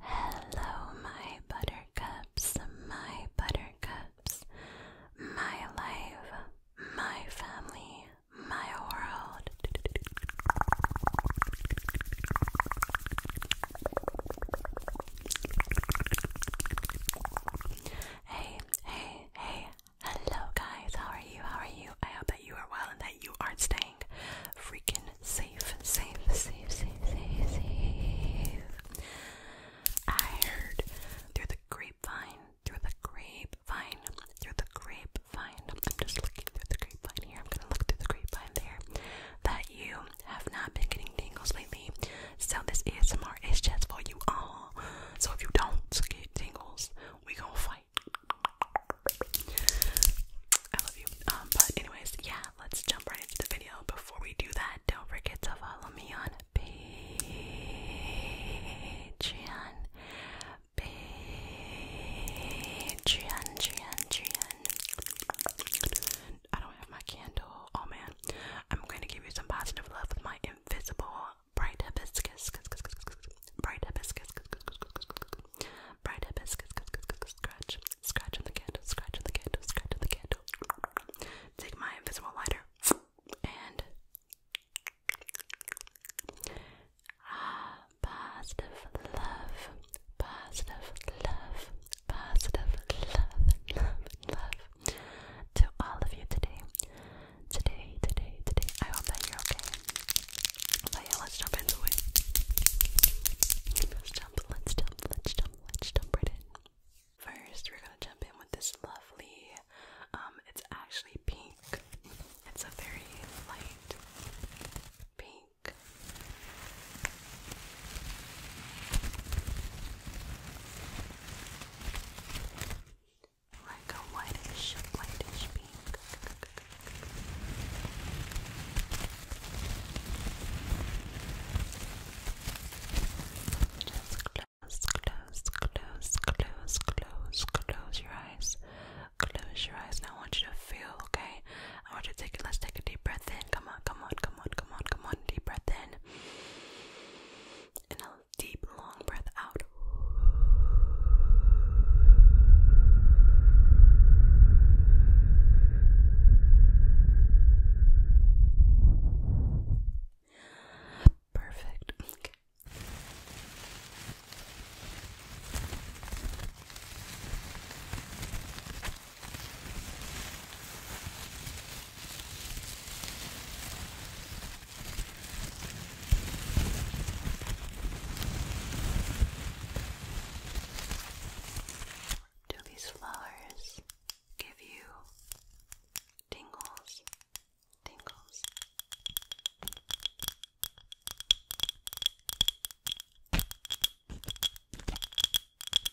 hello, my buttercups, my buttercups, my life, my family, my world. Hey, hey, hey. Hello, guys. How are you? How are you? I hope that you are well and that you are staying freaking safe, safe, safe, safe, safe, safe. I heard through the grapevine, through the grapevine, through the grapevine. I'm just looking through the grapevine here. I'm gonna look through the grapevine there. That you have not been getting tingles lately, so this ASMR is just for you all. So if you don't get tingles, we gonna fight. I love you. Um, but anyways, yeah, let's jump right into the video. Before we do that, don't forget to follow me on Patreon. Patreon, Patreon, Patreon. I don't have my candle. Oh man, I'm going to give you some positive love with my invisible bright hibiscus, bright hibiscus, bright hibiscus. Scratch, scratch on the candle, scratch on the candle, scratch on the candle. Take my invisible lighter and ah, positive love, positive love, positive love, love, love to all of you today. Today, today, today. I hope that you're okay. But yeah, let's jump into it. Let's jump, let's jump, let's jump, let's jump right in. First, we're gonna jump in with this lovely, um, it's actually pink. It's a very light pink. Like a whitish, whitish pink. Just close, close, close, close, close, close your eyes. Close your eyes. Now I want you to feel, okay? I want you to take let's take a deep breath in. Come on, come on, come on, come on, come on. Deep breath in. And a deep long breath out. Perfect. Do these flowers give you tingles? Tingles.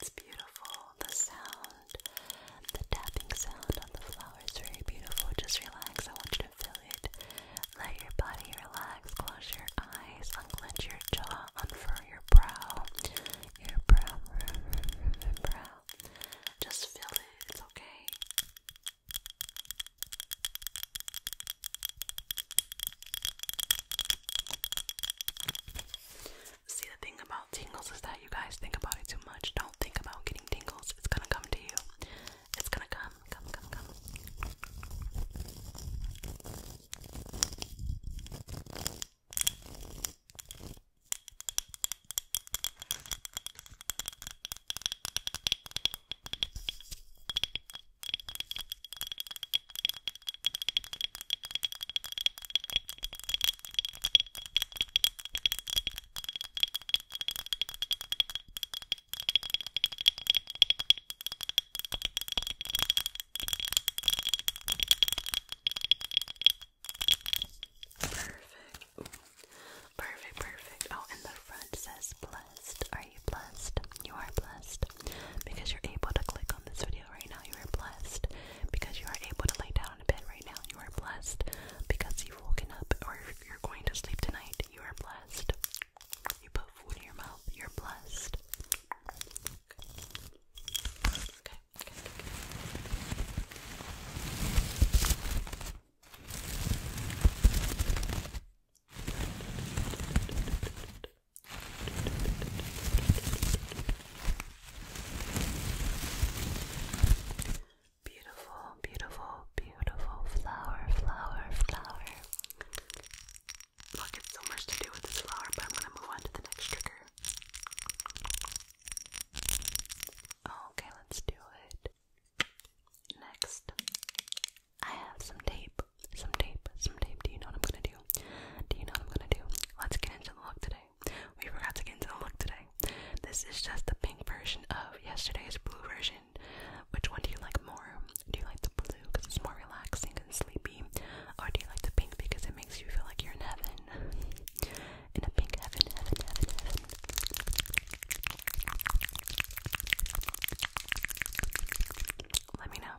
It's beautiful. The sound, the tapping sound on the flowers, is very beautiful. Just relax. I want you to feel it. Let your body relax. Close your eyes. Unclench your jaw. Unfurl your brow. Your brow. Brow. Just feel it. It's okay see the thing about tingles is that you guys think about it too much. Don't think about getting tingles. It's gonna come to you. It's gonna come, come, come, come. Perfect. Perfect, perfect. Oh, and the front says blessed. Are you blessed? You are blessed because you're able to click on this video video right now. You are blessed because you are able to lay down in bed right now. You are blessed because you've woken up or you're going to sleep tonight. You are blessed. You put food in your mouth. You're blessed. Okay. Okay. okay, okay. Beautiful, beautiful, beautiful flower, flower, flower. Look, it's so much to do with this flower, but I'm gonna move on to the next trigger. Okay, let's do it. Next, I have some tape. Some tape, some tape. Do you know what I'm gonna do? Do you know what I'm gonna do? Let's get into the look today. We forgot to get into the look today. This is just the pink version of yesterday's blue version. Which one do you like more? Do you like the blue because it's more relaxing and sleepy? Or do you like the pink because it makes you feel like you're in heaven? In a pink heaven, heaven, heaven, heaven. Let me know.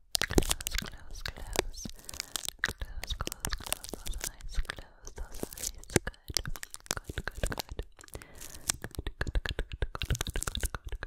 Close, close, close. Close, close, close those eyes. Close those eyes. Good. Good, good, good. Good, good, good, good, good, good, good, good, good. Good,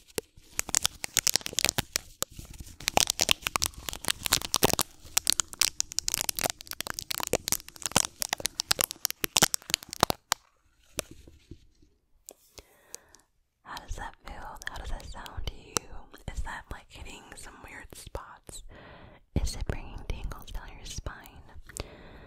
How does that feel? How does that sound to you? Is that like hitting some weird spots? Is it bringing tingles down your spine?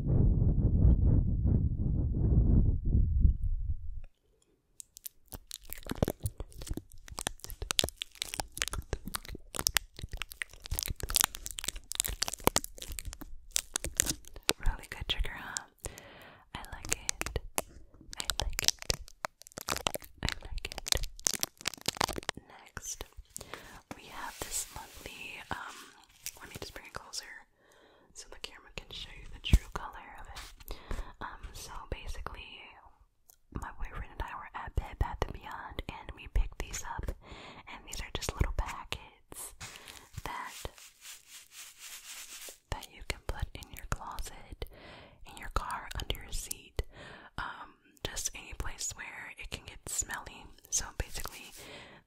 Really good trigger, huh? I like it. I like it. I like it. Next we have this lovely, um, let me just bring it closer so the camera can show you the true color of it. Um, so basically, my boyfriend and I were at Bed Bath & Beyond and we picked these up, and these are just little packets that that you can put in your closet, in your car, under your seat, um, just any place where it can get smelly. So basically,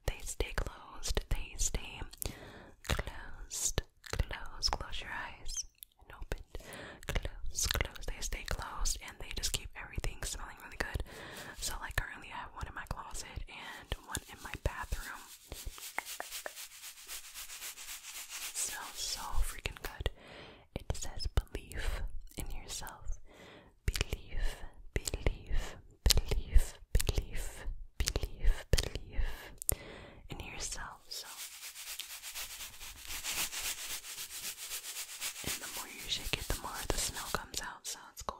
they stay closed, they stay closed, close, close your eyes and open, close, close, they stay closed, and they just keep everything smelling really good. So, like, currently, I have one in my closet and one in my bathroom. It smells so freaking good. It says belief in yourself believe, believe, believe, believe, believe, believe in yourself. So, and the more you shake it, the more the snow comes out. So it's cool.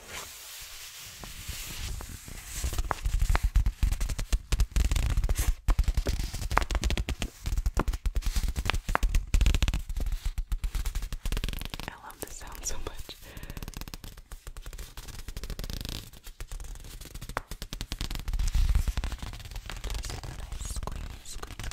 I love this sound so much. Just a nice squeeze, squeeze, squeeze.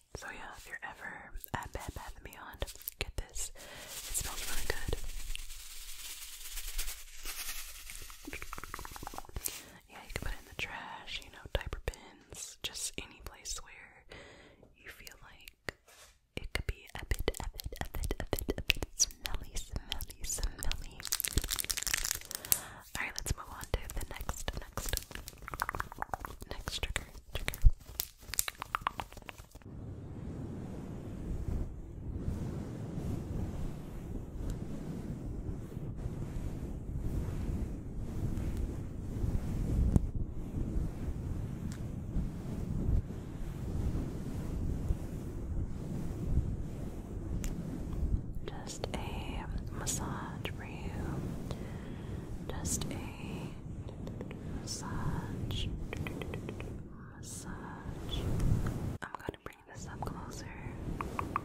So yeah, if you're ever at bad Bath & Beyond, get this. It smells really good. Yeah, you can put it in the trash, you know, diaper bins, just any place where you feel like it could be a bit, a bit, a bit, a bit, a bit smelly, smelly, smelly. Alright, let's move on to the next, next, next trigger, Just a massage, you. Just a massage. Massage. I'm gonna bring this up closer. Massage.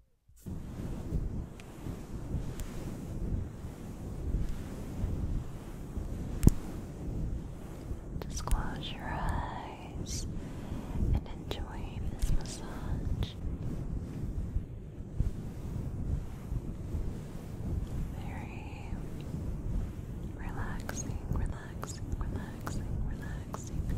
Just close your eyes and enjoy this massage. Very relaxing, relaxing, relaxing, relaxing.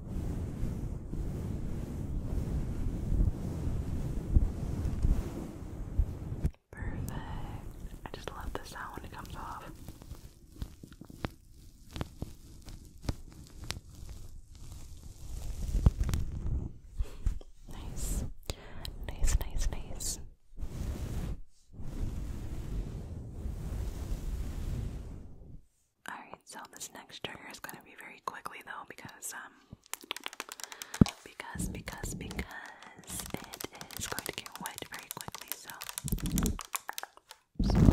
Perfect. I just love the sound when it comes off. Nice. Nice, nice, nice. Alright, so this next trigger is gonna be very quickly though because um because because because it is going to get wet very quickly so, so.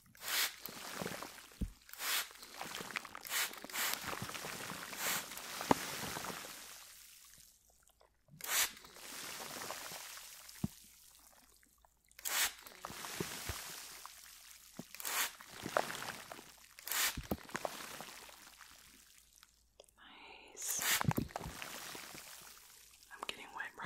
Nice. I'm getting wet, bro.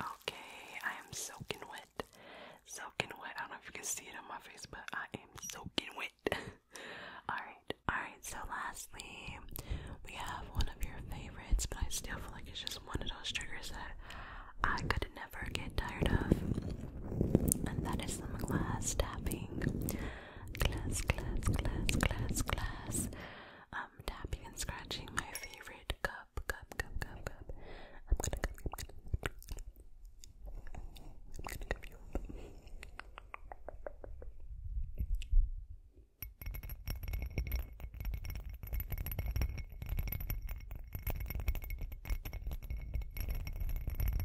Okay, I am soaking wet. Soaking wet. I don't know if you can see it on my face, but I am soaking wet. Alright, alright, so lastly, we have one of your favorites, but I still feel like it's just one of those triggers that I could never get tired of. And that is the glass tapping glass, glass, glass, glass, glass. Um, tapping and scratching my favorite cup, cup, cup, cup, cup. I'm gonna cup you.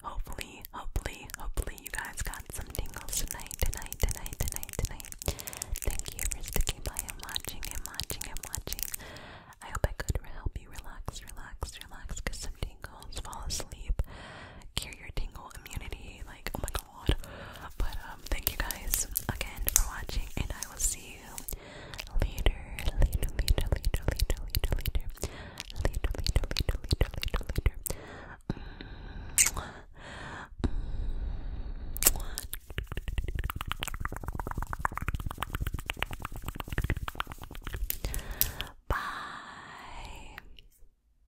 Hopefully, hopefully, hopefully, hopefully you guys got some tingles tonight, tonight, tonight, tonight, tonight. Thank you for sticking by and watching and watching and watching. I hope I could help you relax, relax, relax, get some tingles, fall asleep, cure your tingle immunity, like, oh my but thank you guys again for watching, and I will see you later. Later, later, later, later, later, later, later, later, later, later, later, Bye.